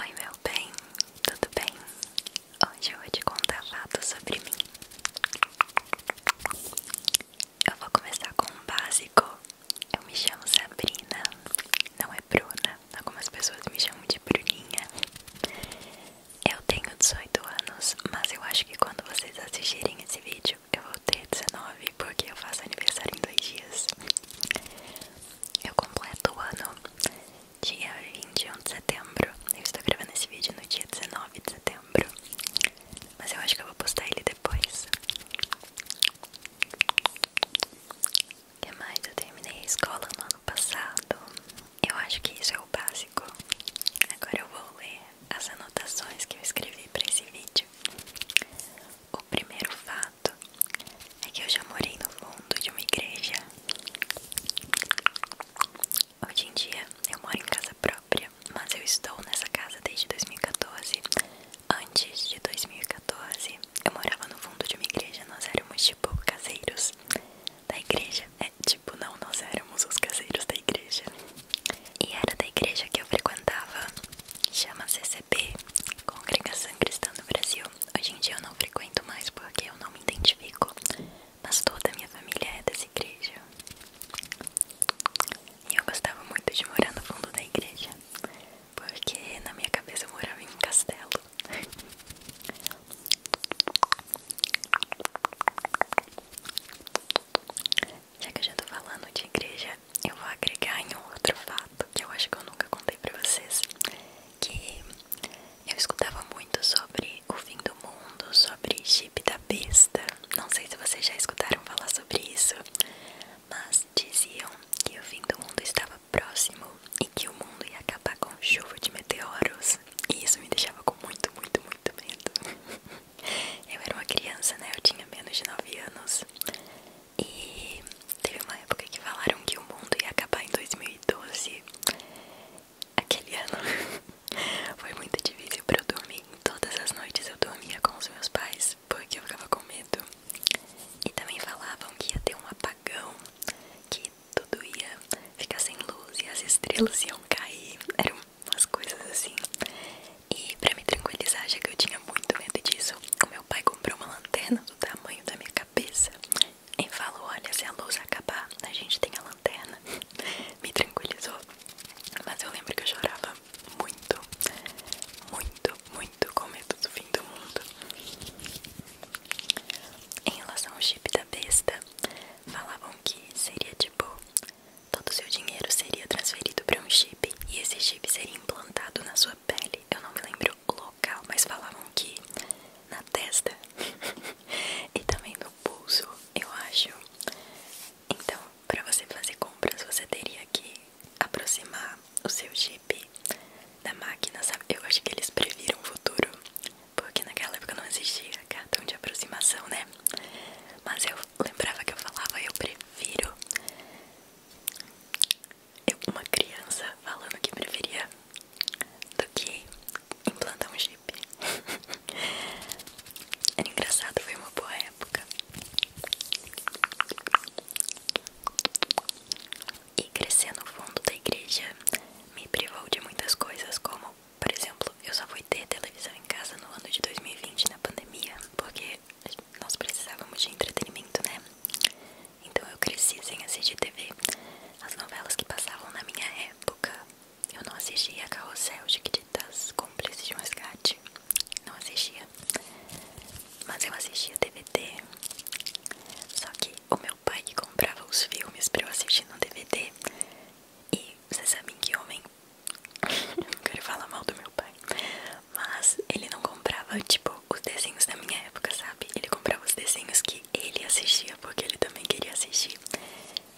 Oi, meu bem, tudo bem? Hoje eu vou te contar fatos sobre mim. Eu vou começar com o básico. Eu me chamo Sabrina, não é Bruna. Algumas pessoas me chamam de Bruninha. Eu tenho 18 anos, mas eu acho que quando vocês assistirem esse vídeo, eu vou ter 19 porque eu faço aniversário em dois dias. Eu completo o ano dia 21 de setembro. Eu estou gravando esse vídeo no dia 19 de setembro. Mas eu acho que eu vou postar ele depois. O que mais? Eu terminei a escola no ano passado. Eu acho que isso é o básico. Agora eu vou ler as anotações que eu escrevi para esse vídeo. O primeiro fato é que eu já morei no fundo de uma igreja. Hoje em dia eu moro em casa própria, mas eu estou nessa casa desde 2014. Antes de 2014, eu morava no fundo de uma igreja, nós éramos tipo caseiros da igreja. É tipo, não, nós éramos os caseiros da igreja. E era da igreja que eu frequentava chama se CCP, Congregação Cristã no Brasil. Hoje em dia eu não frequento mais porque eu não me identifico, mas toda a minha família é dessa igreja. E eu gostava muito de morar no fundo da igreja, porque na minha cabeça eu morava em um castelo. Já que eu já tô falando de igreja, eu vou agregar em um outro fato que eu acho que eu nunca contei pra vocês. Que eu escutava muito sobre o fim do mundo, sobre chip da besta. Não sei se vocês já escutaram falar sobre isso, mas diziam que o fim do mundo estava próximo e que o mundo ia acabar com chuva de meteoros. E isso me deixava com muito, muito, muito medo. eu era uma criança, né? Eu tinha menos de 9 anos. E teve uma época que falaram que o mundo ia acabar em 2012. Aquele ano foi muito difícil pra eu dormir. Todas as noites eu dormia com os meus pais porque eu ficava com medo. E também falavam que ia ter um apagão, que tudo ia ficar sem luz e as estrelas iam cair. Eram umas coisas assim. E pra me tranquilizar, já que eu tinha muito medo disso, o meu pai comprou uma lanterna do tamanho da minha cabeça e falou: Olha, se a luz acabar, a gente tem a lanterna. me tranquilizou. Mas eu lembro que eu chorava muito, muito, muito com medo do fim do mundo. Em relação ao chip da besta, falavam que seria tipo: todo o seu dinheiro seria transferido para um chip e esse chip seria implantado na sua pele. Eu não me lembro o local, mas falavam que na testa e também no pulso, eu acho. Então, para você fazer compras, você teria que aproximar o seu chip da máquina, sabe? Eu acho que eles previram o futuro, porque naquela época não existia cartão de aproximação, né? Mas eu lembrava que eu falava, eu prefiro é uma criança falando que preferia do que implantar um chip. Era engraçado, foi uma boa época. E crescer no fundo da igreja me privou de muitas coisas, como, por exemplo, eu só fui ter televisão em casa no ano de 2020, na pandemia, porque nós precisávamos de entretenimento, né? Então eu cresci sem assistir TV. As novelas que passavam na minha época, eu não assistia Carrossel, Chiquititas, Cúmplices de Mascate, Não assistia. Mas eu assistia DVD. Só que o meu pai que comprava os filmes pra eu assistir no DVD. E vocês sabem que homem. não quero falar mal do meu pai. Mas ele não comprava, tipo, os desenhos da minha época, sabe? Ele comprava os desenhos que ele assistia, porque ele também queria assistir.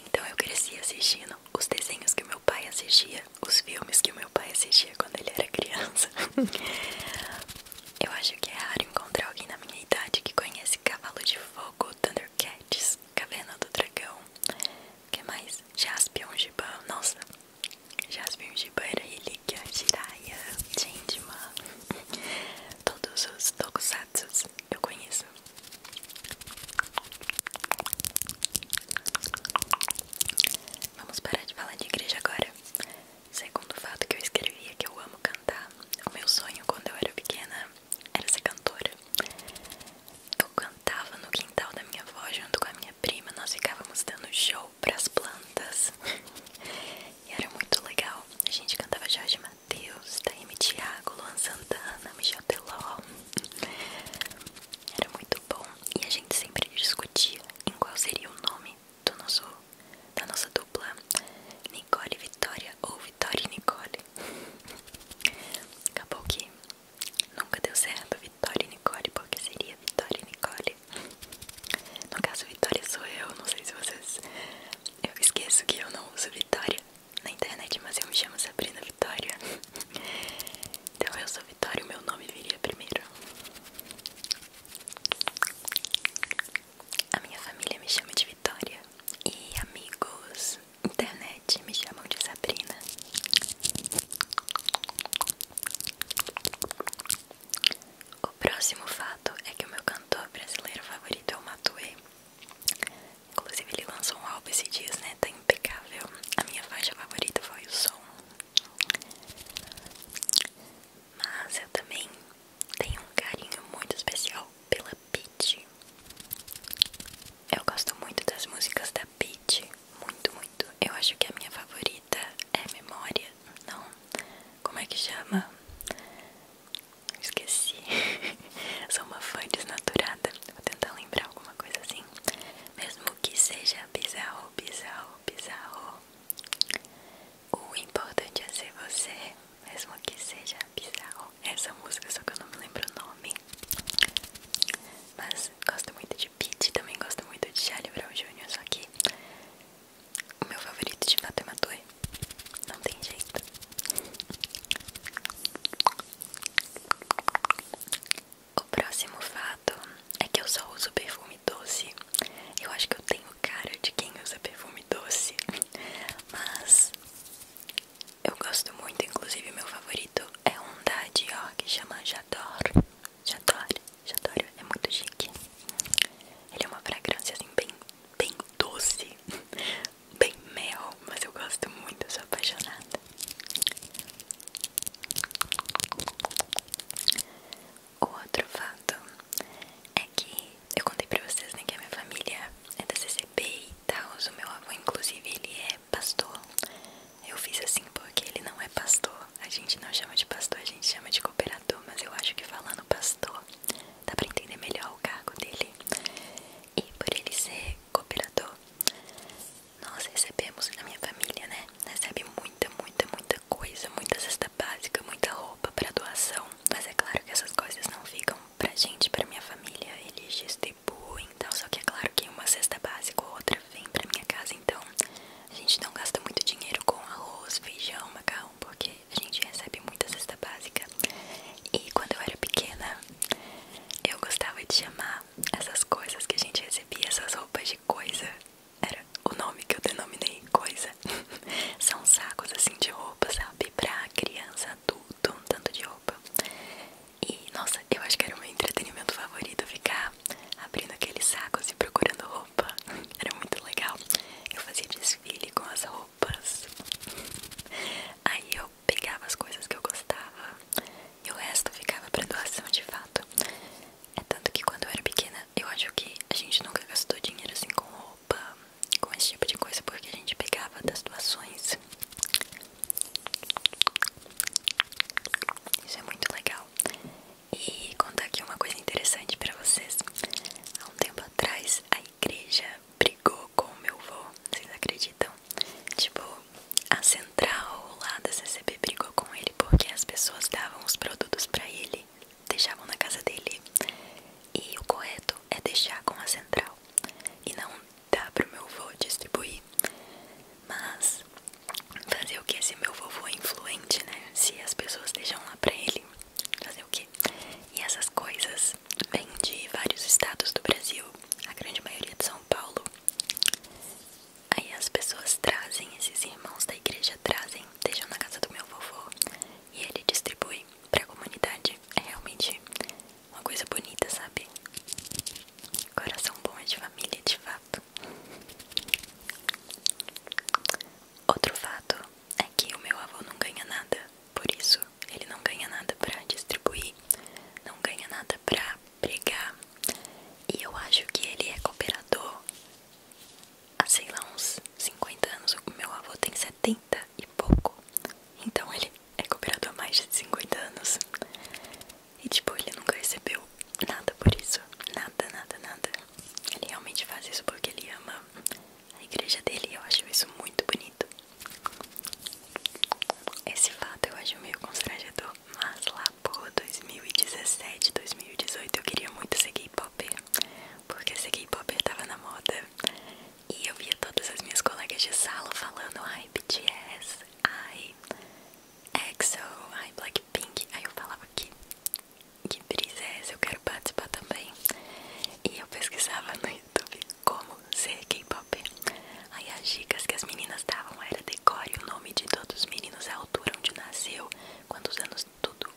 Então eu cresci assistindo os desenhos que meu pai assistia, os filmes que meu pai assistia quando ele era criança. eu acho que é raro encontrar alguém na minha idade que conhece Cavalo de Fogo, Thundercats, Caverna do Dragão. O que mais? Jaspion, Gibão, nossa, Jasmine Jibara, Relíquia, Jiraiya, Jindima, todos os que eu conheço. Vamos parar de falar de igreja agora. Segundo fato que eu escrevia é que eu amo cantar. O meu sonho quando eu era pequena era ser cantora. Eu cantava no quintal da minha avó junto com a minha prima. Nós ficávamos dando show para as plantas E era muito legal A gente cantava Jorge Matheus, Taime Thiago, Luan Santana, Michel Teló Era muito bom E a gente sempre discutia em qual seria o nome da nossa dupla Nicole e Vitória ou Vitória e Nicole Acabou que nunca deu certo Vitória Nicole, porque seria Vitória Nicole. No caso, Vitória sou eu, não sei se vocês. Eu esqueço que eu não uso Vitória na internet, mas eu me chamo Sabrina Vitória. Então eu sou Vitória, o meu nome viria primeiro. A minha família me chama de Vitória e amigos internet me chamam de Sabrina. O próximo fato é que o meu cantor brasileiro favorito é o Matuê. Inclusive ele lançou um álbum esse dia, né? Tá impecável. A minha faixa favorita foi o som. Mas eu também tenho um carinho muito especial pela Peach. Eu gosto muito das músicas da Peach, muito, muito. Eu acho que a minha favorita é Memória não, como é que chama? Esqueci. Sou uma fã desnaturada. Vou tentar lembrar alguma coisa assim. Mesmo que seja bizarro, bizarro, bizarro. O importante é ser você. Mesmo que seja bizarro. Essa música, só que eu não me lembro o nome. Mas gosto muito de beat Também gosto muito de Charlie Brown Jr. Só que o meu favorito de fato é Não tem jeito. O próximo fato é que eu só uso perfume doce. Eu acho que eu tenho cara de quem usa perfume doce. Mas eu gosto muito, inclusive meu favorito é um da Dior que chama J'adore. Já adoro, já adoro, é muito chique. Ele é uma fragrância assim bem, bem doce, bem mel, mas eu gosto muito, sou apaixonada. O outro fato é que eu contei pra vocês né, que a minha família é da CCB e tal. O meu avô, inclusive, ele é pastor. Eu fiz assim porque ele não é pastor, a gente não chama de pastor, a gente chama de cooperador, mas eu acho que falando pastor dá pra entender melhor o cargo dele. E por ele ser cooperador, nós recebemos na minha família, né? Recebe muita, muita, muita coisa, muita cesta básica, muita roupa pra doação. Mas é claro que essas coisas não ficam pra gente, pra minha família, eles distribuem então, Só que é claro que uma cesta básica ou outra vem pra minha casa, então a gente não gasta muito dinheiro com arroz, feijão, macarrão, porque a gente recebe muita cesta básica. E quando eu era pequena, eu gostava de chamar essas coisas que a gente recebia, essas roupas de coisa. Era o nome que eu denominei coisa. São sacos assim de roupa, sabe? Pra criança, adulto, um tanto de roupa. E nossa, eu acho que era o meu entretenimento favorito ficar abrindo aqueles sacos e procurando roupa era muito legal. Eu fazia desfile com as roupas. Aí eu pegava as coisas que eu gostava e o resto ficava para doação de fato. É tanto que quando eu era pequena, eu acho que a gente nunca gastou dinheiro assim com roupa, com esse tipo de coisa, porque a gente pegava das doações. Isso é muito legal e contar aqui uma coisa interessante para vocês. Há um tempo atrás, a igreja brigou com o meu avô, vocês acreditam? Tipo, a central lá da CCB brigou com ele porque as pessoas davam os produtos para ele, deixavam na casa dele. E o correto é deixar com a central e não dar pro meu avô distribuir. Mas Fazer o que se meu vovô é influente, né? Se as pessoas deixam lá pra ele, fazer o que? E essas coisas vêm de vários estados do Brasil, a grande maioria de São Paulo. Aí as pessoas trazem, esses irmãos da igreja trazem, deixam na casa do meu vovô e ele distribui pra comunidade. É realmente uma coisa bonita, sabe? Coração bom é de família, de fato. Outro fato é que o meu avô não ganha nada, por isso ele não ganha nada para distribuir, não ganha nada para pregar. E eu acho que ele é cooperador há sei lá uns 50 anos. O meu avô tem 70 e pouco, então ele é cooperador há mais de 50 anos. E tipo, ele nunca recebeu nada por isso, nada, nada, nada. Ele realmente faz isso porque ele ama a igreja dele e eu acho isso muito bonito. Esse fato eu acho meio constrangedor, mas lá por 2017, 2018 eu queria muito ser gay-popper, porque ser gay-popper tava na moda e eu via todas as minhas colegas de sala falando ai BTS, ai EXO, ai Blackpink, aí eu falava que que brisa é essa? Eu quero participar também. E eu pesquisava no YouTube como ser K-pop. Aí as dicas que as meninas davam era decore o nome de todos os meninos, a altura onde nasceu, quantos anos, tudo,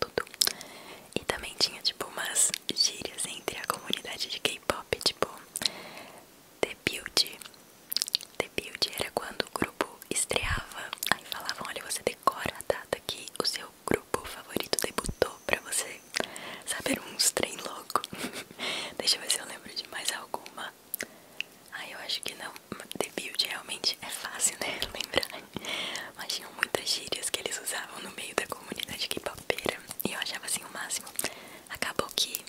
tudo. E também tinha tipo umas gírias entre a comunidade de K-pop, tipo The Build. The Build era quando o grupo estreava, aí falavam, olha, você decora a data que o seu grupo favorito debutou pra você saber uns trem louco. Deixa eu ver se eu lembro de mais alguma. Ah, eu acho que não. The Build realmente é fácil, né? Lembrar. Mas tinham muitas gírias que eles usavam no meio da comunidade K-popera. E eu achava assim o máximo. Acabou que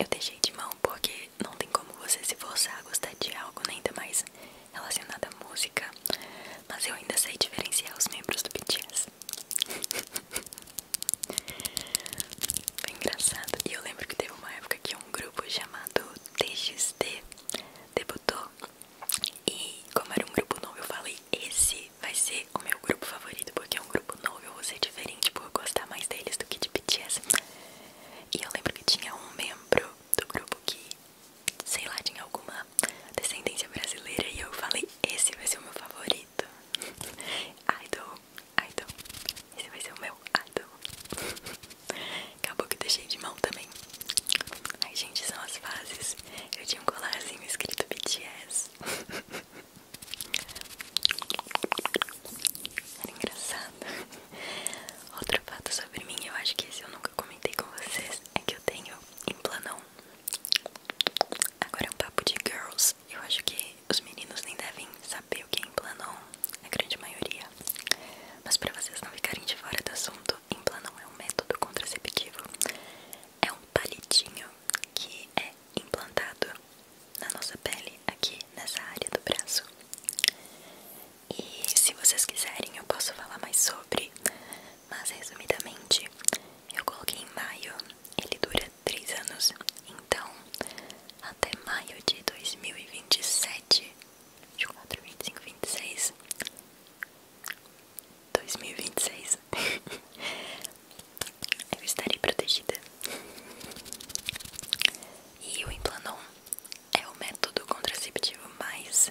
eu deixei de mão porque não tem como você se forçar a gostar de algo, nem né, ainda mais relacionada à música, mas eu ainda sei diferenciar os membros do BTS. Foi engraçado. E eu lembro que teve uma época que um grupo chamado TXT debutou. E como era um grupo novo, eu falei: esse vai ser o meu grupo favorito, porque é um grupo novo, eu vou ser diferente vou gostar mais deles do que de BTS. E eu lembro que tinha um membro do grupo que sei lá, de alguma descendência brasileira e eu falei, esse vai ser o meu favorito. Idol, idol. Esse vai ser o meu idol. Acabou que deixei de mão também. Ai, gente, são as fases. Eu tinha um colarzinho escrito BTS. Era engraçado. Outro fato sobre mim, eu acho que esse eu não nunca comentei com vocês é que eu tenho Implanon. Agora é um papo de girls. Eu acho que os meninos nem devem saber o que é Implanon, a grande maioria. Mas para vocês não ficarem de fora do assunto, Implanon é um método contraceptivo. É um palitinho que é implantado na nossa pele aqui nessa área do braço. E se vocês quiserem, eu posso falar mais sobre. Mas resumidamente, eu coloquei em maio, ele dura 3 anos. Então, até maio de 2027, 24, 25, 26. 2026 Eu estarei protegida E o Implanon é o método contraceptivo mais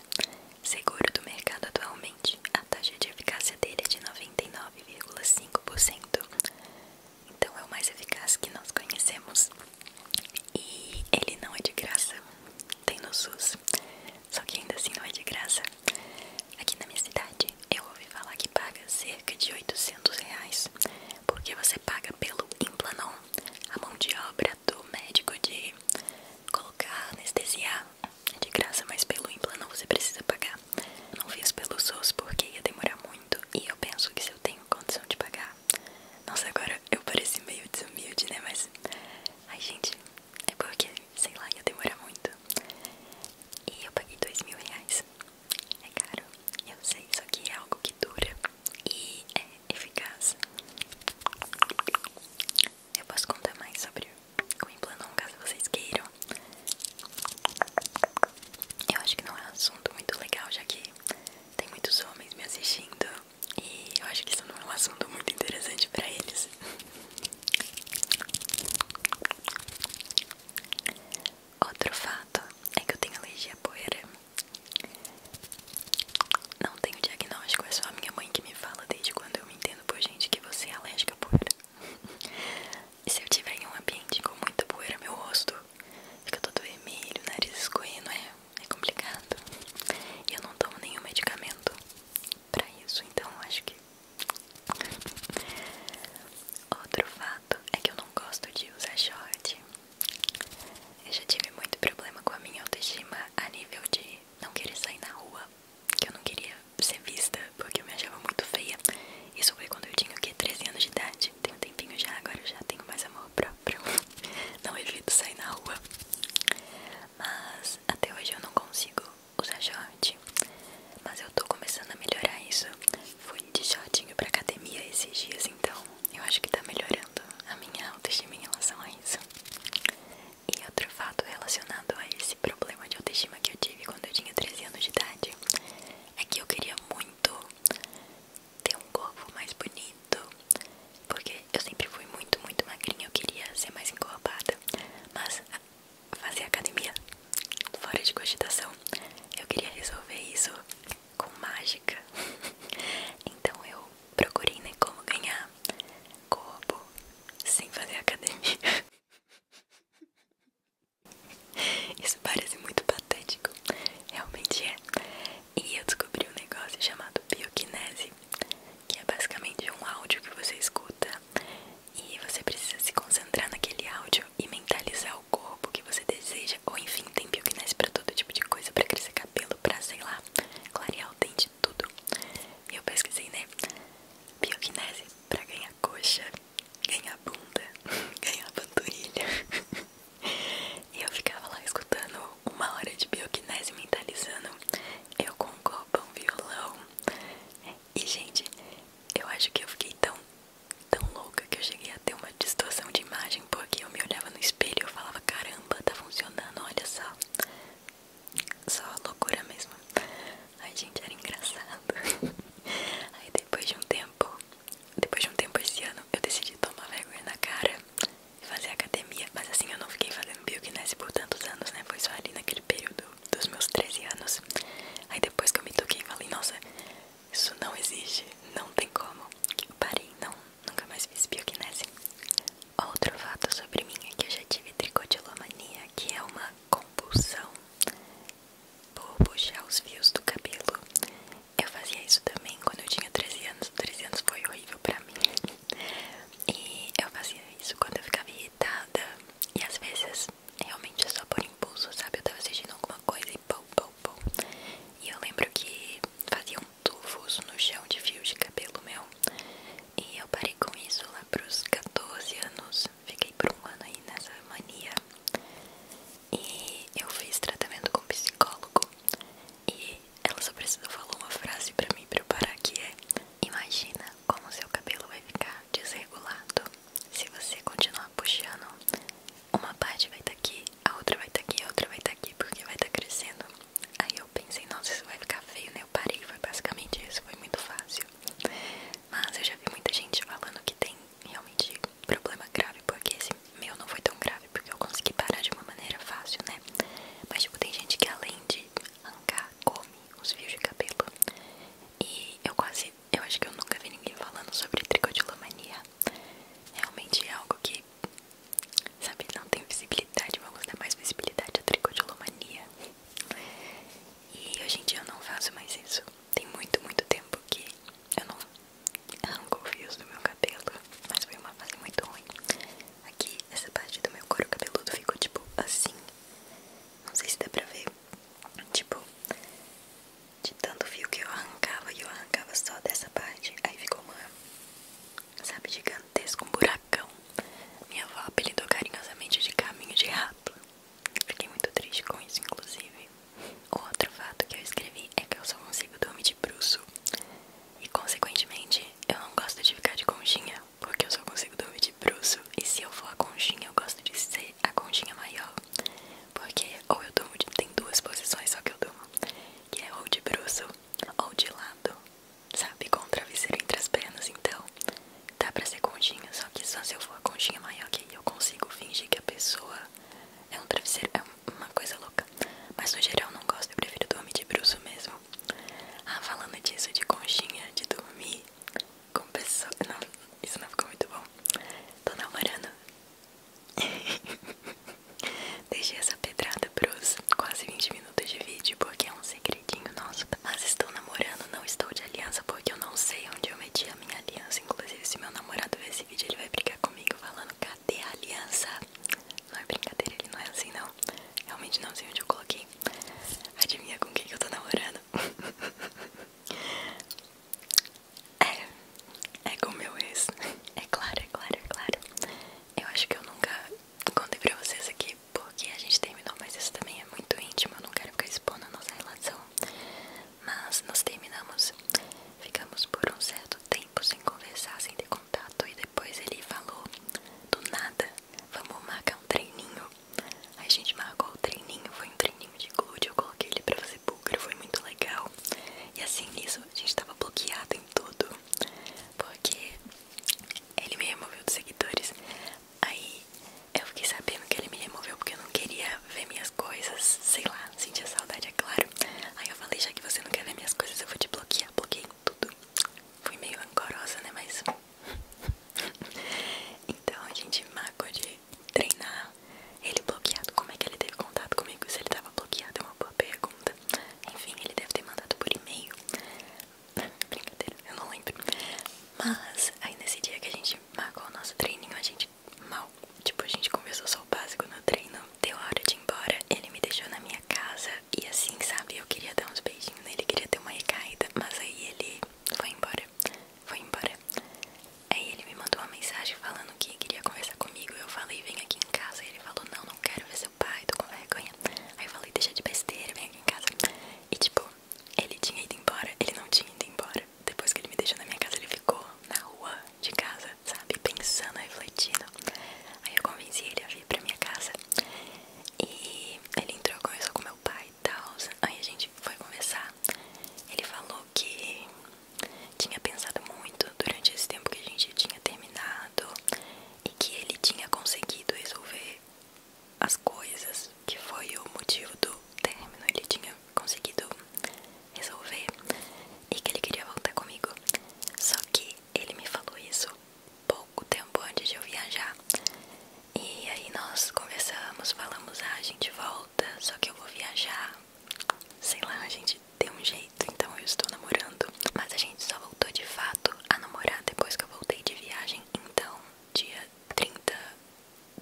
seguro do mercado atualmente. A taxa de eficácia dele é de 99,5%. Então é o mais eficaz que nós conhecemos. E ele não é de graça. Tem no SUS. Só que ainda assim não é de graça. Aqui na minha cidade eu ouvi falar que paga cerca de 800 reais. Porque você paga pelo implanon, a mão de obra do médico de colocar anestesiar de graça, mas pelo implano você precisa pagar. não fiz pelo SUS porque ia demorar muito e eu penso que se eu tenho condição de pagar. Nossa, agora eu pareci meio desumilde, né? Mas. Ai, gente, é porque, sei lá, ia demorar muito. E eu paguei dois mil reais. É caro, eu sei, só que é algo que dura e é eficaz. Eu posso contar mais sobre o implanon caso vocês queiram. Eu acho que não é um assunto muito legal, já que tem muitos homens me assistindo e eu acho que isso não é um assunto muito interessante pra eles. Outro fato é que eu tenho alergia a poeira. Não tenho diagnóstico, é só minha mãe que me fala desde quando eu me entendo por gente que você é alérgica à poeira. e se eu tiver em um ambiente com muita poeira, meu rosto fica todo vermelho, nariz escorrendo, é, é complicado. E eu não tomo nenhum medicamento pra isso, então acho que. Outro fato é que eu não gosto de usar short. Eu já tive muito problema com a minha autoestima a nível de não querer sair na rua, que eu não queria ser vista porque eu me achava muito feia. Isso foi quando eu tinha o que? 13 anos de idade. Tem um tempinho já, agora eu já tenho mais amor próprio. Não evito sair na rua. Mas até hoje eu não consigo usar short. Mas eu tô começando a melhorar isso. Fui de shortinho pra academia esses dias, então eu acho que tá melhorando a minha autoestima em relação a isso. E outro fato relacionado a esse problema de autoestima que eu tive quando eu tinha 13 anos de idade é que eu queria muito ter um corpo mais bonito, porque eu sempre fui muito, muito magrinha, eu queria ser mais encorpada, mas fazer academia fora de cogitação, eu queria resolver isso com mágica. então eu procurem né, como ganhar corpo sem fazer academia. Isso parece muito patético, realmente é. E eu descobri um negócio chamado bioquinese, que é basicamente um áudio que você escuta e você precisa se concentrar naquele áudio e mentalizar o corpo que você deseja, ou enfim, tem bioquinese para todo tipo de coisa, para crescer cabelo, para sei lá, clarear o dente, tudo. E eu pesquisei, né? Bioquinese pra ganhar coxa, ganhar bunda, ganhar panturrilha. e eu ficava lá escutando uma hora de bioquinese mentalizando. Eu com um copo, um violão. E, gente, eu acho que eu fiquei tão, tão louca que eu cheguei a ter uma distorção de imagem, porque eu me olhava no espelho e eu falava, caramba, tá funcionando, olha só. Só loucura mesmo. Ai, gente, era engraçado. Aí depois de um tempo, depois de um tempo esse ano, eu decidi tomar vergonha na cara e fazer academia. Mas assim, eu não fiquei fazendo bioquinese por tantos anos, né? Foi só ali naquele período dos meus 13 anos. Aí depois que eu me toquei, falei, nossa, isso não existe, não tem como. Eu parei, não, nunca mais fiz bioquinese. Outro fato sobre mim é que eu já tive tricodilomania, que é uma compulsão por puxar os fios do cabelo. Eu fazia isso também quando eu tinha 13 anos. 13 anos foi horrível pra mim. E eu fazia isso quando eu ficava irritada. E às vezes, realmente é só por impulso, sabe? Eu tava assistindo alguma coisa e pô pô pô. E eu lembro que fazia um tufos no chão de fio de cabelo meu. E eu parei com isso lá para os 14 anos. Fiquei por um ano aí nessa mania. E eu fiz tratamento com um psicólogo. E ela só precisou falar uma frase para mim para eu parar que é Imagina como seu cabelo vai ficar desregulado se você continuar puxando. Uma parte vai estar tá aqui, a outra vai estar tá aqui, a outra vai estar tá aqui porque vai estar crescendo. Aí eu pensei, nossa, isso vai ficar feio, né? Eu parei, foi basicamente isso, foi muito fácil. Mas eu já vi muita gente falando que tem realmente problema grave, porque esse meu não foi tão grave, porque eu consegui parar de uma maneira fácil, né? Mas tipo, tem gente que além de arrancar, come os fios de cabelo. E eu quase, eu acho que eu nunca vi ninguém falando sobre tricotilomania. Realmente é algo que Sabe, não tem visibilidade, vamos dar mais visibilidade à tricodilomania. E hoje em dia eu não faço mais isso. Tem muito, muito tempo que eu não arranco fios do meu cabelo. Mas foi uma fase muito ruim. Aqui, essa parte do meu couro cabeludo ficou tipo assim. Não sei se dá pra ver. Tipo, de tanto fio que eu arrancava e eu arrancava só dessa parte. Aí ficou uma sabe, gigantesco, um buracão. Minha avó apelidou carinhosamente de caminho de rato. Fiquei muito triste com isso, inclusive. o Outro fato que eu escrevi é que eu só consigo dormir de bruxo. E, consequentemente, eu não gosto de ficar de conchinha, porque eu só consigo dormir de bruxo. E se eu for a conchinha, eu gosto de ser a conchinha maior. Porque ou eu durmo de... tem duas posições só que eu durmo. Que é ou de bruxo ou de lado sabe? Com o travesseiro entre as pernas, então dá pra ser conchinha, só que só se eu for a conchinha maior que eu consigo fingir que a pessoa é um travesseiro, é uma coisa louca. Mas no geral não gosto, eu prefiro dormir de bruxo mesmo. Ah, falando disso, de conchinha, de dormir com pessoa. Não, isso não ficou muito bom. Tô namorando. Deixei essa pedrada pros quase 20 minutos de vídeo porque é um segredinho nosso. Mas estou namorando, não estou de aliança porque eu não sei onde eu meti a minha aliança. Inclusive, se meu namorado ver esse vídeo, ele vai brigar comigo falando: cadê a aliança? Não é brincadeira, ele não é assim, não. Realmente não sei onde eu coloquei. Adivinha com quem que eu tô namorando? É, é com meu ex. É claro, é claro, é claro. Eu acho que eu nunca contei pra vocês aqui porque a gente terminou, mas isso também é muito íntimo, eu não quero ficar expondo a nossa relação. Mas nós terminamos, ficamos por um certo tempo sem conversar, sem ter contato, e depois ele falou do nada, vamos marcar um treininho. Aí a gente marcou o treininho, foi um treininho de glúteo, eu coloquei ele pra fazer búlgaro, foi muito legal. E assim nisso a gente tava bloqueado em tudo, porque ele me removeu dos seguidores. Aí eu fiquei sabendo que ele me removeu porque eu não queria ver minhas coisas, sei lá, sentia saudade, é claro. Aí eu falei, já que você não quer ver minhas coisas, eu vou te bloquear, bloqueei tudo. Fui meio angorosa, né, mas... então a gente mago de treinar ele bloqueado. Como é que ele teve contato comigo se ele tava bloqueado? É uma boa pergunta. Enfim, ele deve ter mandado por e-mail. Brincadeira, eu não lembro. Mas aí nesse dia que a gente marcou o nosso treininho, a gente mal. Tipo, a gente conversou só o básico no treino. Deu a hora de ir embora. Ele me deixou na minha casa. E assim, sabe, eu queria dar uns beijinhos ele queria ter uma recaída. Mas aí ele foi embora. Foi embora. Aí ele me mandou uma mensagem falando que queria conversar comigo. Eu falei, vem aqui em casa. Ele falou, não, não quero ver seu pai, tô com vergonha. Aí eu falei, deixa de besteira, vem aqui em casa. E tipo, ele tinha ido embora, ele não tinha ido embora. Depois que ele me deixou na minha casa, ele ficou na rua de casa, sabe? Pensando, refletindo. Aí eu convenci ele a vir pra minha casa. E ele entrou, conversou com meu pai e tal. Aí a gente foi conversar. Ele falou que tinha pensado muito durante esse tempo que a gente tinha terminado e que ele tinha conseguido resolver as coisas, que foi o motivo do término, ele tinha conseguido resolver e que ele queria voltar comigo. Só que ele me falou isso pouco tempo antes de eu viajar. E aí nós conversamos, falamos, ah, a gente volta, só que eu vou viajar. Sei lá, a gente deu um jeito, então eu estou namorando. Mas a gente só voltou de fato a namorar depois que eu voltei de viagem. Então, dia 30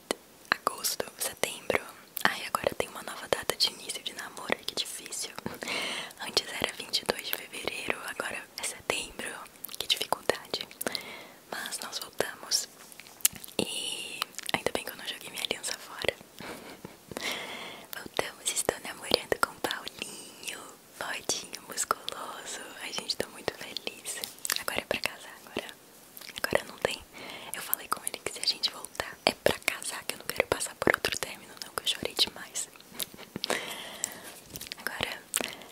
de agosto, setembro. Ai, agora tem uma nova data de início de namoro, que difícil. Antes era 22 de fevereiro, agora é setembro. Que dificuldade. Mas nós voltamos. E ainda bem que eu não joguei minha aliança fora. Voltamos, estou namorando com Paulinho bodinho musculoso. a gente, tô muito feliz. Agora é pra casar, agora. Agora não tem. Eu falei com ele que se a gente voltar é pra casar, que eu não quero passar por outro término, não, que eu chorei demais. Agora,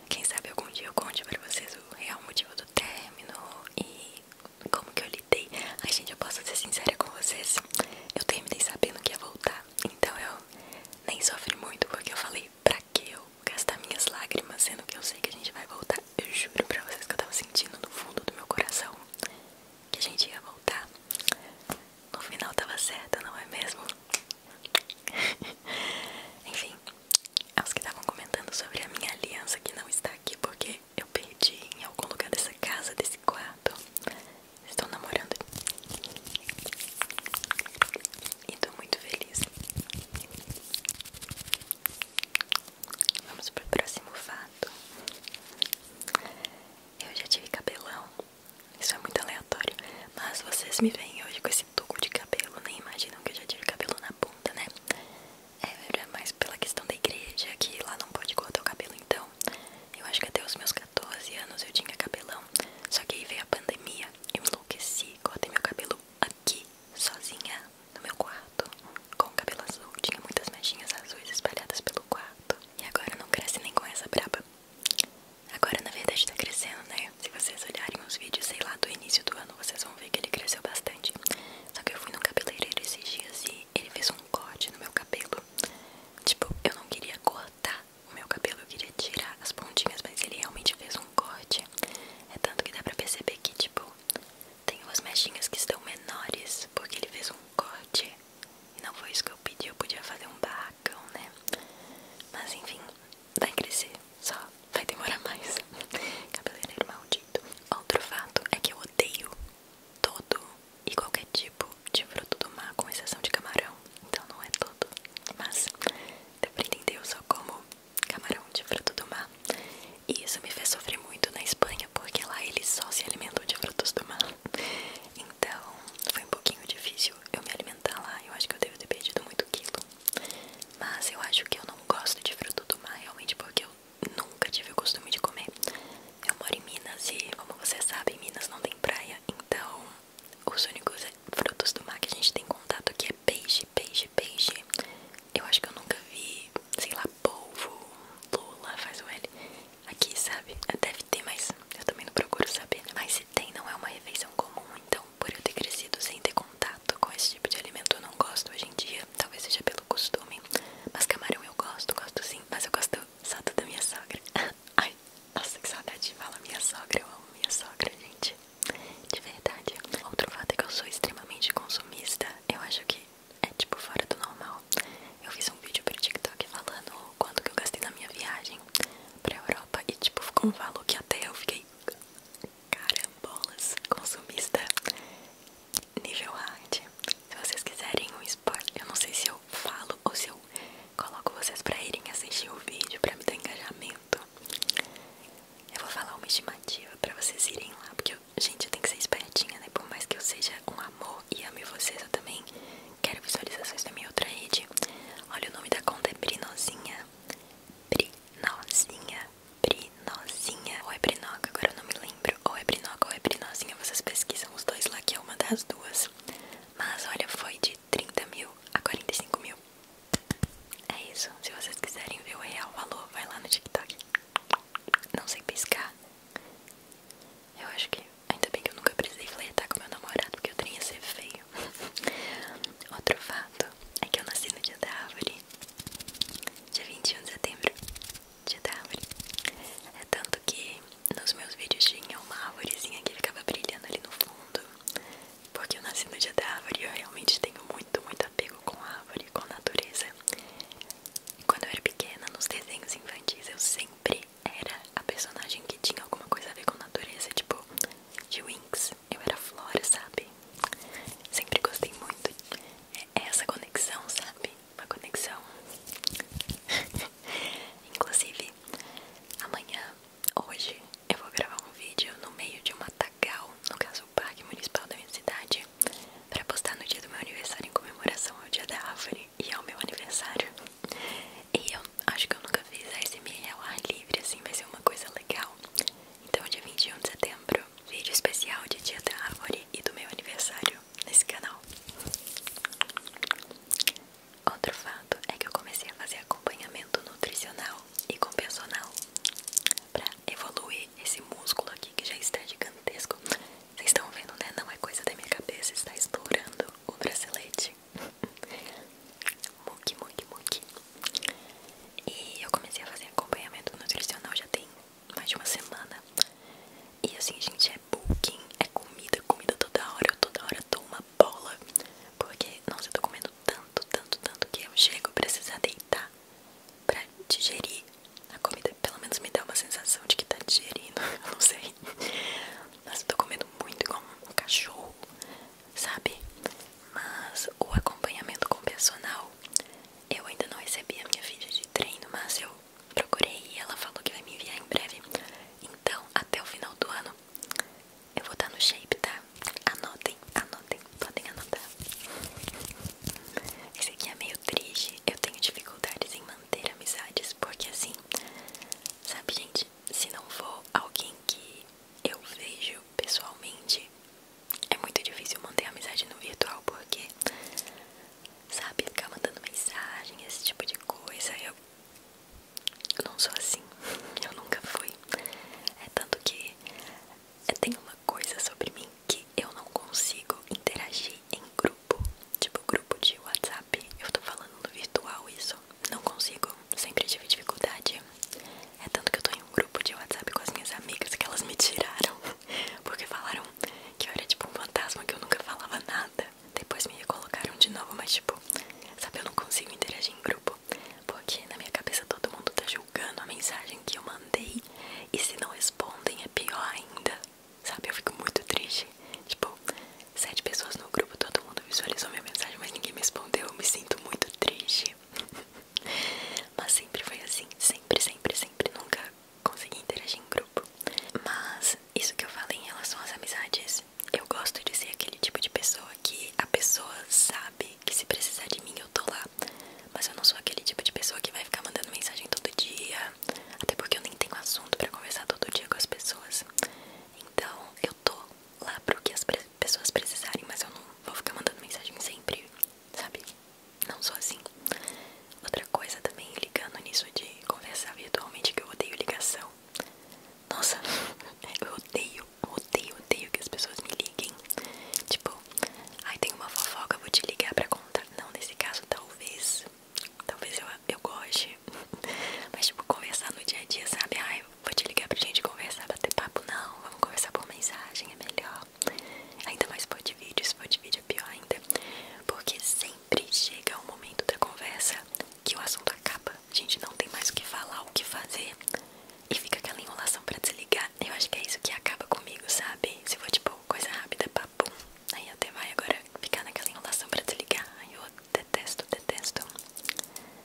quem sabe algum dia eu conte pra vocês o real motivo do término e como que eu lidei. a gente, eu posso ser sincera com vocês. Eu terminei sabendo que ia voltar, então eu nem sofri muito porque eu falei pra que eu gastar minhas lágrimas, sendo que eu sei que a gente vai voltar. Eu juro pra vocês que eu tava sentindo no fundo do meu coração que a gente ia voltar. No final tava certa, não é mesmo? Enfim, aos que estavam comentando sobre a minha aliança que não está aqui porque eu perdi em algum lugar dessa casa, desse quarto. estão namorando. E tô muito feliz. Vamos pro próximo fato. Eu já tive cabelão. Isso é muito aleatório. Mas vocês me veem hoje com esse tuco de cabelo. Nem imaginam que eu já tive cabelo na ponta, né? É, era mais pela questão da igreja, que lá não pode cortar o cabelo. Então, eu acho que até os meus 14 anos eu tinha cabelão. Só que aí veio a pandemia eu enlouqueci, cortei meu cabelo aqui, sozinha, no meu quarto, com o cabelo azul. Tinha muitas mechinhas azuis espalhadas pelo quarto. E agora não cresce nem com essa braba. Agora, na verdade, tá crescendo, né? Se vocês olharem os vídeos, sei lá, do início do ano, vocês vão ver que ele cresceu bastante. Só que eu fui no cabeleireiro esses dias e ele fez um corte no meu cabelo. Tipo, eu não queria cortar o meu cabelo eu queria tirar as pontinhas, mas ele realmente fez um corte. É tanto que dá pra perceber que, tipo, tem umas mechinhas que estão menores, porque ele fez um corte. E não foi isso que eu pedi, eu podia fazer um barracão, né? Mas enfim, vai crescer, só vai demorar mais. Cabeleireiro é maldito. Outro fato é que eu odeio todo e qualquer tipo de fruto do mar, com exceção de camarão. Então não é todo. Mas deu pra entender, eu só como camarão de fruto do mar. E isso me fez sofrer muito na Espanha, porque lá eles só se alimentam de frutos do mar. Então foi um pouquinho difícil eu me alimentar lá. Eu acho que eu devo ter perdido muito quilo. Mas eu acho que eu não gosto de fruto do mar realmente porque eu nunca tive o costume de comer. Eu moro em Minas e, como vocês sabem, Minas não tem praia, então os únicos frutos do mar que a gente tem contato aqui é peixe, peixe, peixe. Eu acho que eu nunca vi, sei lá, polvo, lula, faz o L. Aqui, sabe? É, deve ter, mas eu também não procuro saber. Mas se tem, não é uma refeição comum. Então, por eu ter crescido sem ter contato com esse tipo de alimento, eu não gosto hoje em dia. Talvez seja pelo costume. Mas camarão eu gosto, gosto sim. Mas eu gosto só da minha sogra. Ai, nossa, que saudade de falar minha sogra. Eu amo minha sogra, gente. De verdade. Outro fato é que eu sou extremamente consumista. Eu acho que é tipo fora do normal. Eu fiz um vídeo pro TikTok falando quanto que eu gastei na minha viagem pra Europa e tipo ficou um valor que até eu fiquei carambolas consumista nível hard. Se vocês quiserem um spoiler, eu não sei se eu falo ou se eu coloco vocês pra irem assistir o vídeo pra me dar engajamento eu vou falar uma estimativa pra vocês irem lá, porque, gente, eu tenho que ser espertinha, né? Por mais que eu seja um amor e ame vocês, eu também quero visualizações da minha outra rede. Olha, o nome da conta é Brinozinha. Brinozinha. Brinozinha. Ou é Brinoca, agora eu não me lembro. Ou é Brinoca ou é Brinozinha, vocês pesquisam os dois lá, que é uma das duas. Mas olha, foi de de 30 mil a 45 mil. É isso. Se vocês quiserem ver o real valor, vai lá no TikTok. Não sei pescar. Eu acho que. Ainda bem que eu nunca precisei flertar com meu namorado, porque eu teria ser feio. Outro fato é que eu nasci no dia da árvore. Dia 21 de setembro. Dia da árvore. É tanto que nos meus vídeos tinha uma árvorezinha que ficava brilhando ali no fundo porque eu nasci no dia da árvore e eu realmente tenho muito, muito apego com a árvore, com a natureza. E quando eu era pequena, nos desenhos infantis, eu sempre era a personagem que tinha alguma coisa a ver com a natureza, tipo de wings eu era flora, sabe? Sempre gostei muito. É essa conexão, sabe? Uma conexão. Inclusive, amanhã, hoje, eu vou gravar um vídeo no meio de um matagal, no caso o parque municipal da minha cidade, para postar no dia do meu aniversário em comemoração ao dia da árvore e ao meu aniversário. E eu acho que eu nunca fiz ASMR ao ar livre, assim, vai ser uma coisa legal. Então, dia 21 de setembro, vídeo especial de dia da árvore e do meu aniversário nesse canal. Outro fato é que eu comecei a fazer a acompanhamento nutricional e com personal para evoluir esse músculo aqui que já está gigantesco. Vocês estão vendo, né? Não é coisa da minha cabeça, está estourando o bracelete. muque, muque, muque. E eu comecei a fazer acompanhamento nutricional já tem mais de uma semana. E assim, gente, é bulking, é comida, comida toda hora. Eu toda hora dou bola. Porque, nossa, eu tô comendo tanto, tanto, tanto que eu chego a precisar é deitar pra digerir a comida. Pelo menos me dá uma sensação de que tá digerindo, eu não sei. Mas eu tô comendo muito igual um cachorro, sabe? Mas o acompanhamento com o personal, eu ainda não recebi a minha ficha de treino, mas eu procurei e ela falou que vai me enviar em breve. Então, até o final do ano, eu vou dar no shape, tá? Anotem, anotem, podem anotar. Esse aqui é meio triste. Eu tenho dificuldades em manter amizades, porque assim, sabe, gente, se não for alguém que eu vejo pessoalmente, é muito difícil manter amizade no virtual, porque, sabe, ficar mandando mensagem, esse tipo de coisa, eu não sou assim, eu nunca fui. É tanto que tem uma coisa sobre mim que eu não consigo interagir em grupo, tipo grupo de WhatsApp. Eu tô falando no virtual isso, não consigo, sempre tive dificuldade. É tanto que eu tô em um grupo de WhatsApp com as minhas amigas que elas me tiraram, porque falaram que eu era tipo um fantasma que eu nunca falava nada. Depois me colocaram de novo, mas tipo, sabe, eu não consigo interagir em grupo, porque na minha cabeça todo mundo tá junto julgando a mensagem que eu mandei e se não respondem é pior ainda, sabe? Eu fico muito triste. Tipo, sete pessoas no grupo, todo mundo visualizou minha mensagem, mas ninguém me respondeu. Eu me sinto muito triste. mas sempre foi assim, sempre, sempre, sempre. Nunca consegui interagir em grupo. Mas isso que eu falo em relação às amizades, eu gosto de ser aquele tipo de pessoa que a pessoa sabe que se precisar de mim eu tô lá. Mas eu não sou aquele tipo de pessoa que vai ficar mandando mensagem todo dia. Até porque eu nem tenho assunto para conversar todo dia com as pessoas. Então eu tô lá pro que as pessoas precisarem, mas eu não vou ficar mandando mensagem sempre, sabe? Não sou assim. Outra coisa também, ligando nisso de conversar virtualmente, que eu odeio ligação. Nossa, eu odeio odeio, odeio que as pessoas me liguem. Tipo, ai, tem uma fofoca, vou te ligar pra contar. Não, nesse caso, talvez. Talvez eu, eu goste. Mas, tipo, conversar no dia a dia, sabe? Ai, vou te ligar pra gente conversar, bater papo. Não, vamos conversar por mensagem, é melhor. Ainda mais por de vídeo, se for de vídeo é pior ainda. Porque sempre chega um momento da conversa que o assunto acaba. A gente não tem mais o que falar, o que fazer. E fica aquela enrolação pra desligar. Eu acho que é isso que acaba comigo, sabe? Se for tipo coisa rápida, papum. Aí até vai agora ficar naquela enrolação pra desligar. Ai, eu detesto, detesto.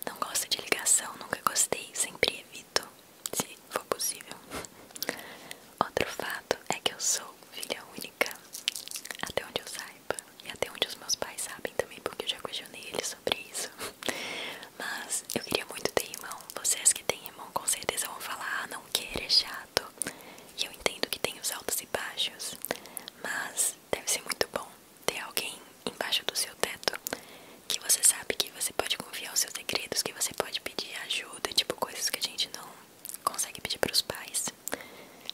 Não gosto de ligação, nunca gostei, sempre evito, se for possível. Outro fato é que eu sou filha única, até onde eu saiba. E até onde os meus pais sabem também, porque eu já questionei eles sobre isso. Mas eu queria muito ter irmão. Vocês que têm irmão com certeza vão falar: ah, não queira, é chato. E eu entendo que tem os altos e baixos. Mas deve ser muito bom ter alguém embaixo do seu teto que você sabe que você pode confiar os seus segredos, que você pode pedir ajuda, tipo coisas que a gente não consegue pedir para os pais.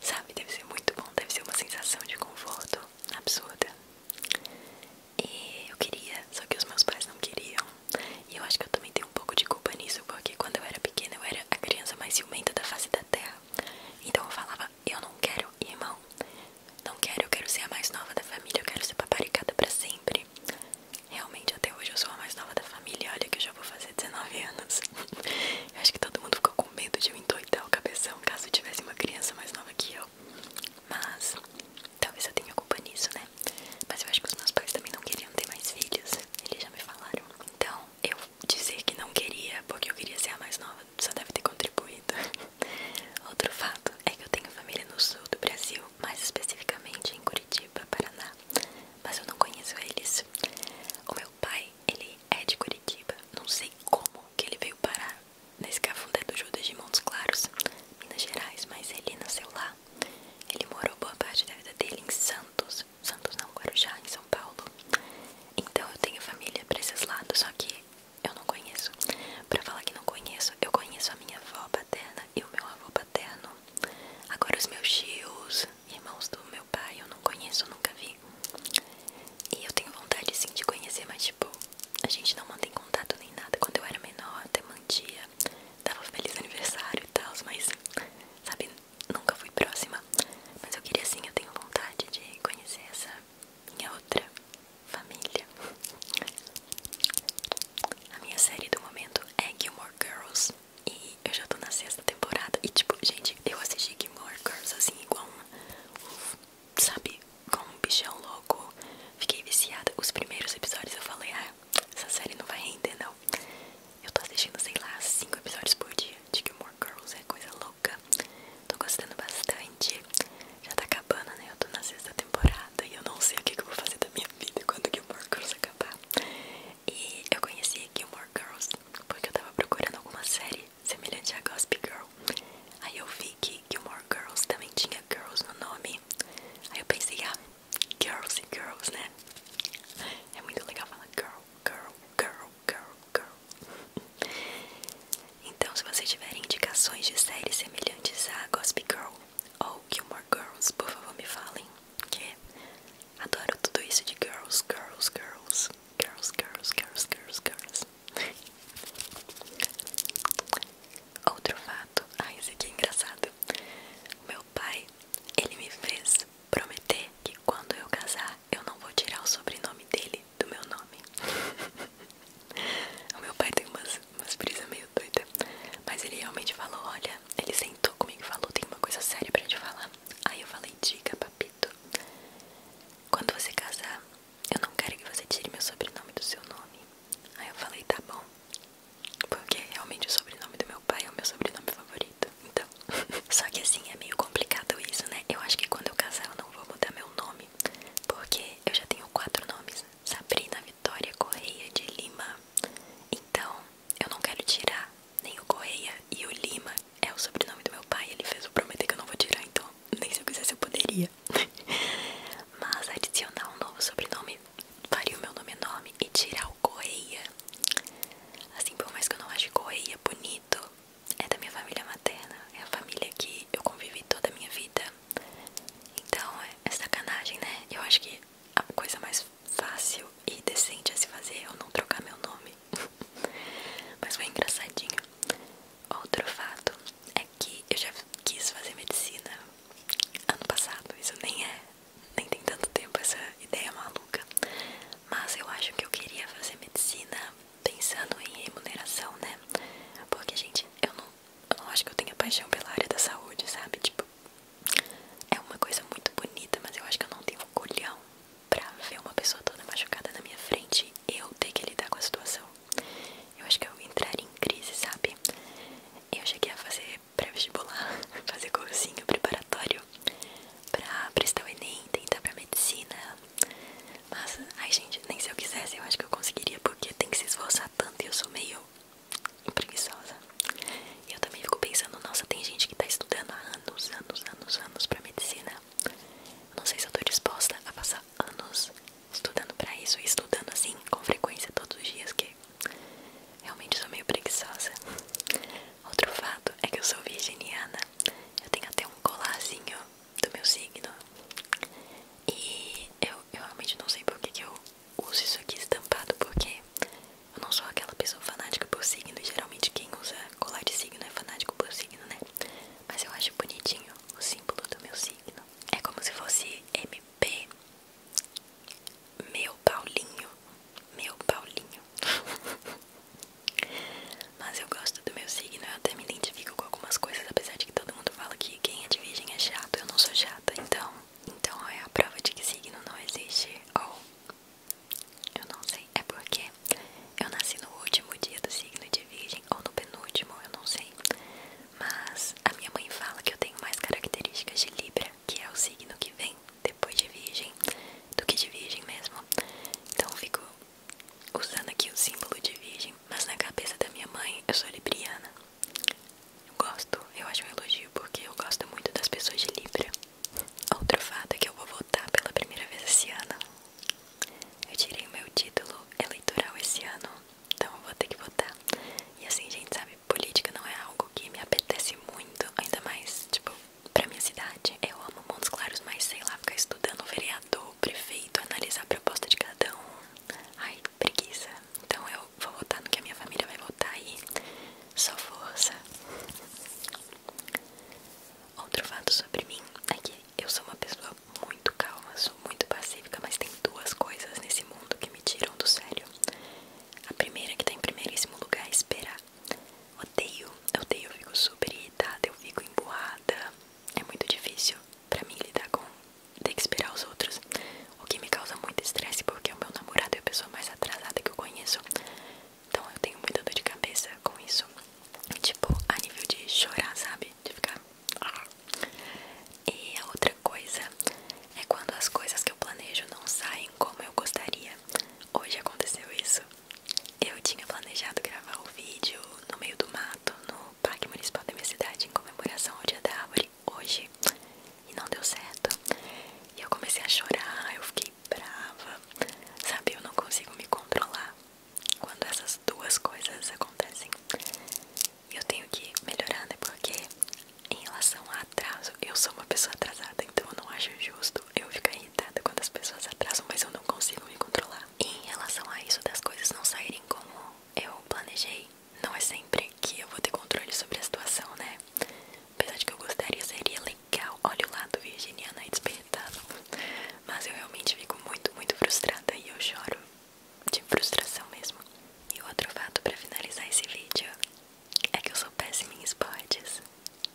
Sabe, deve ser muito bom, deve ser uma sensação de conforto absurda. E eu queria, só que os meus pais não queriam. E eu acho que eu também tenho um pouco de culpa nisso, porque quando eu era pequena eu era a criança mais ciumenta da face da terra. Então eu falava, eu não quero irmão. Não quero, eu quero ser a mais nova da família, eu quero ser paparicada pra sempre. Realmente até hoje eu sou a mais nova da família, olha que eu já vou fazer 19 anos. eu acho que todo mundo ficou com medo de eu endoidar o cabeção caso tivesse uma criança mais nova que eu. Mas talvez eu tenha culpa nisso, né? Mas eu acho que os meus pais também não queriam ter mais filhos. Eles já me falaram. Então, eu dizer que não queria porque eu queria ser a mais nova só deve ter contribuído. Outro fato é que eu tenho família no sul do Brasil, mais especificamente em Curitiba, Paraná. Mas eu não conheço eles. O meu pai, ele é de Curitiba. Não sei como que ele veio parar Nesse cafundé do Judas de Montes Claros, Minas Gerais, mas ele nasceu lá. Ele morou boa parte da vida dele em Santos, Santos não, Guarujá, em São Paulo. Então eu tenho família pra esses lados, só que eu não conheço. Pra falar que não conheço, eu conheço a minha avó paterna e o meu avô paterno. Agora os meus tios, irmãos do meu pai, eu não conheço, nunca vi. E eu tenho vontade sim de conhecer, mas tipo, a gente não mantém contato nem nada. Quando eu era menor, até mantia dava feliz aniversário e tal, mas, sabe, nunca fui próxima. Mas eu queria assim, eu tenho vontade de conhecer essa minha outra família. A minha série do momento é Gilmore Girls. E eu já tô na sexta temporada. E tipo, gente, eu assisti Gilmore Girls assim, igual sabe, com um bichão louco. Fiquei viciada. Os primeiros episódios eu falei, ah, essa série não vai render, não. Eu tô assistindo, sei lá, 5 episódios por dia de Gilmore Girls, é coisa louca. Tô gostando bastante. Já tá acabando, né? Eu tô na sexta temporada e eu não sei o que, eu vou fazer da minha vida quando Gilmore Girls acabar. E eu conheci Gilmore Girls porque eu tava procurando alguma série semelhante a Gossip Girl. Aí eu vi que Gilmore Girls também tinha Girls no nome aqui. Aí eu pensei, ah, girls e girls, né? É muito legal falar girl, girl, girl, girl, girl. Então, se vocês tiverem indicações de séries semelhantes a Gossip Girl ou Gilmore Girls, por favor me falem, que adoro tudo isso de girls, girls, girls, girls, girls, girls, girls, girls. Outro fato Ai, isso aqui é engraçado. Meu pai, ele me fez prometer que quando eu casar, eu não vou tirar o sobrenome dele do meu nome. o meu pai tem umas, umas brisas meio doidas. Mas ele realmente falou: Olha, ele sentou comigo e falou: Tem uma coisa séria pra te falar. Aí eu falei: Diga, papito. Quando você casar, eu não quero que você tire meu sobrenome do seu nome. Aí eu falei: Tá bom. Porque realmente o sobrenome do meu pai é o meu sobrenome favorito. Então, só que assim é meio complicado isso, né? Eu acho que quando eu casar eu não vou mudar meu nome, porque eu já tenho quatro nomes: Sabrina Vitória Correia de Lima. Então, eu não quero tirar nem o Correia e o Lima é o sobrenome do meu pai. Ele fez o prometer que eu não vou tirar, então nem se eu quisesse eu poderia. Mas adicionar um novo sobrenome faria o meu nome enorme é e tirar o Correia. Assim, por mais que eu não ache Correia bonito, é da minha família materna. É a família que eu convivi toda a minha vida. Então, é, é sacanagem, né? Eu acho que a coisa mais fácil e decente a se fazer é eu não trocar meu nome. Mas foi engraçadinho. Outro fato é que eu já quis fazer medicina ano passado. Isso nem é, nem tem tanto tempo essa ideia maluca. Mas eu acho que eu queria fazer medicina pensando em remuneração, né? Porque, gente, eu não, eu acho que eu tenha paixão pela área da saúde, sabe? Tipo, é uma coisa muito bonita, mas eu acho que eu não tenho colhão pra ver uma pessoa toda machucada na minha frente e eu ter que lidar com a situação. Eu acho que eu entrar em crise, sabe? Eu cheguei a fazer fazer vestibular fazer cursinho preparatório pra prestar o Enem, tentar pra medicina. Mas, ai gente, nem se eu quisesse eu acho que eu conseguiria, porque tem que se esforçar tanto e eu sou meio preguiçosa. E eu também fico pensando, nossa, tem gente que tá estudando há anos, anos, anos, anos pra medicina. não sei se eu tô disposta a passar anos estudando pra isso, estudando assim, com frequência todos os dias, que Realmente sou meio preguiçosa. Outro fato é que eu sou virginiana. Eu tenho até um colarzinho do meu signo. E eu, eu realmente não sei por que, que eu uso isso aqui estampado, porque eu não sou aquela pessoa fanática por signo. E geralmente quem usa colar de signo é fanático por signo, né? Mas eu acho bonitinho o símbolo do meu signo. É como se fosse MP meu Paulinho, meu Paulinho. Mas eu gosto do meu signo, eu até me identifico com algumas coisas, apesar de que todo mundo fala que quem é de virgem é chato, eu não sou chata, então, então é a prova de que signo não existe. Ou eu não sei, é porque eu nasci no último dia do signo de virgem ou no penúltimo, eu não sei. Mas a minha mãe fala que eu tenho mais características de Libra, que é o signo que vem depois de Virgem, do que de Virgem mesmo. Então eu fico usando aqui o símbolo de Virgem, mas na cabeça da minha mãe eu sou libriana. Eu gosto, eu acho um elogio porque eu gosto muito das pessoas de Libra. Outro fato é que eu vou votar pela primeira vez esse ano. Eu tirei o meu título eleitoral esse ano, então eu vou ter que votar. E assim a gente sabe política não é algo que me apetece muito, ainda mais, tipo, pra minha cidade. Eu amo Montes Claros, mas sei lá, ficar estudando vereador, prefeito, analisar a proposta de cada um. Ai, preguiça. Então eu vou votar no que a minha família vai votar aí. Só força. Outro fato sobre mim é que eu sou uma pessoa muito calma, sou muito pacífica, mas tem duas coisas nesse mundo que me tiram do sério. A primeira que tá em primeiríssimo lugar é esperar. Odeio, odeio, eu fico super irritada, eu fico emburrada. É muito difícil pra mim lidar com ter que esperar os outros. O que me causa muito estresse porque é o meu namorado é a pessoa mais atrasada que eu conheço. Então eu tenho muita dor de cabeça com isso. Tipo, a nível de chorar, sabe? De ficar. E a outra coisa é quando as coisas que eu planejo não saem como eu gostaria. Hoje aconteceu isso. Eu tinha planejado gravar o vídeo no meio do mato, no Parque Municipal da minha cidade, em comemoração ao Dia da Árvore, hoje, e não deu certo. E eu comecei a chorar, eu fiquei brava. Sabe, eu não consigo me controlar quando essas duas coisas acontecem eu tenho que melhorar, né? Porque em relação a atraso, eu sou uma pessoa atrasada, então eu não acho justo eu ficar irritada quando as pessoas atrasam, mas eu não consigo me controlar. em relação a isso das coisas não saírem como eu planejei, não é sempre que eu vou ter controle sobre a situação, né? Apesar de que eu gostaria, seria legal. Olha o lado virginiano aí despertando. Mas eu realmente fico muito, muito frustrada e eu choro de frustração mesmo. E outro fato para finalizar esse vídeo é que eu sou péssima em esportes.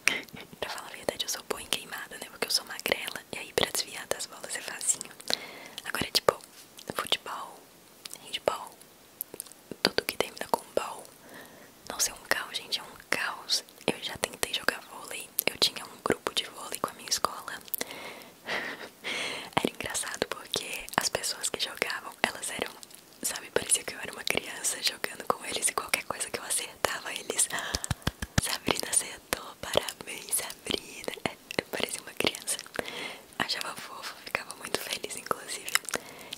pra falar a verdade, eu sou boa em queimada, né? Porque eu sou magrela. E aí, pra desviar das bolas é facinho. Agora, é tipo, futebol, handball, tudo que termina com ball. não ser é um caos, gente. É um caos. Eu já tentei jogar vôlei. Eu tinha um grupo de vôlei com a minha escola. Era engraçado porque as pessoas que jogavam, elas eram sabe, parecia que eu era uma criança jogando com eles e qualquer coisa que eu acertava, eles. Ah, Sabrina acertou, parabéns, Sabrina. É, parecia uma criança. Achava fofo, ficava muito feliz, inclusive.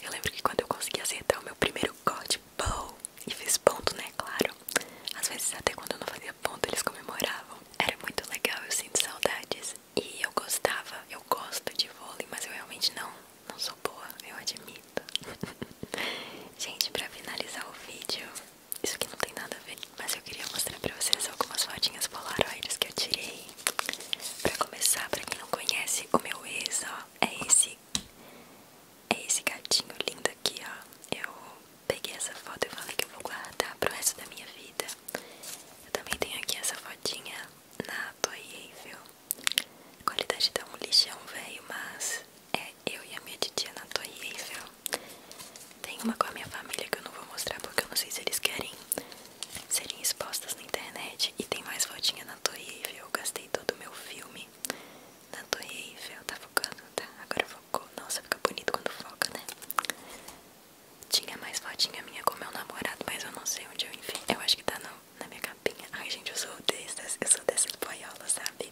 Eu lembro que quando eu consegui acertar o meu primeiro corte, bow, e fiz ponto, né? Claro. Às vezes, até quando eu não fazia ponto, eles comemoravam. Era muito legal, eu sinto saudades. E eu gostava, eu gosto de vôlei, mas eu realmente não, não sou boa, eu admito. Gente, pra finalizar o vídeo, isso aqui não tem nada a ver, mas eu queria mostrar pra vocês algumas fotinhas polaroides que eu tirei. Pra começar, pra quem não conhece, o meu ex, ó, é esse, é esse gatinho lindo aqui, ó. Eu peguei essa foto e falei que eu vou guardar pro resto da minha vida. Eu também tenho aqui essa fotinha na Toyeville. A qualidade tá um lixão velho, mas é eu e a minha titia na Toyeville. Tem uma com a minha família que eu não vou mostrar porque eu não sei se eles querem serem expostas na internet. E tem mais fotinha na Toyeville. Eu gastei todo o meu filme na Toyeville. Tá focando? Tá, agora focou. Nossa, fica bonito quando foca, né? Tinha mais fotinha minha com meu namorado, mas eu não sei onde eu enfiei. Eu acho que tá na na minha capinha. Ai, gente, eu sou dessas, eu sou dessas boiolas, sabe?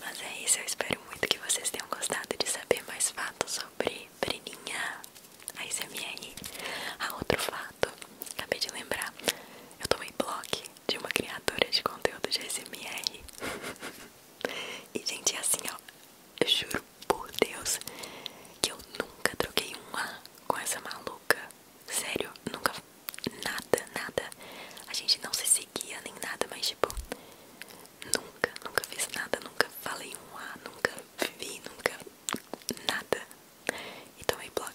Mas é isso, eu espero muito que vocês tenham gostado de saber mais fatos sobre Breninha, a SMR. Ah, outro fato, acabei de lembrar, eu tomei blog de uma criadora de conteúdo de SMR. e, gente, é assim, ó, eu juro por Deus que eu nunca troquei um A com essa maluca. Sério, nunca. Nada, nada. A gente não se seguia nem nada, mas tipo. Nunca, nunca fiz nada, nunca falei um A, nunca vi, nunca. Nada. E tomei bloco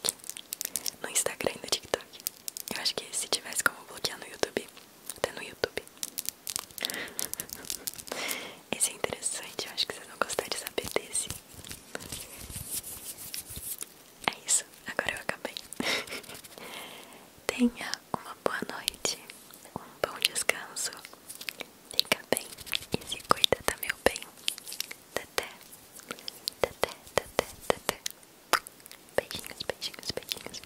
no Instagram e no TikTok. Eu acho que se tivesse como bloquear no YouTube, até no YouTube. Esse é interessante, eu acho que vocês vão gostar de saber desse. É isso, agora eu acabei. Tenha uma boa noite, um bom descanso. Fica bem e se cuida, tá meu bem? Teté, teté, teté, teté. Beijinhos, beijinhos, beijinhos.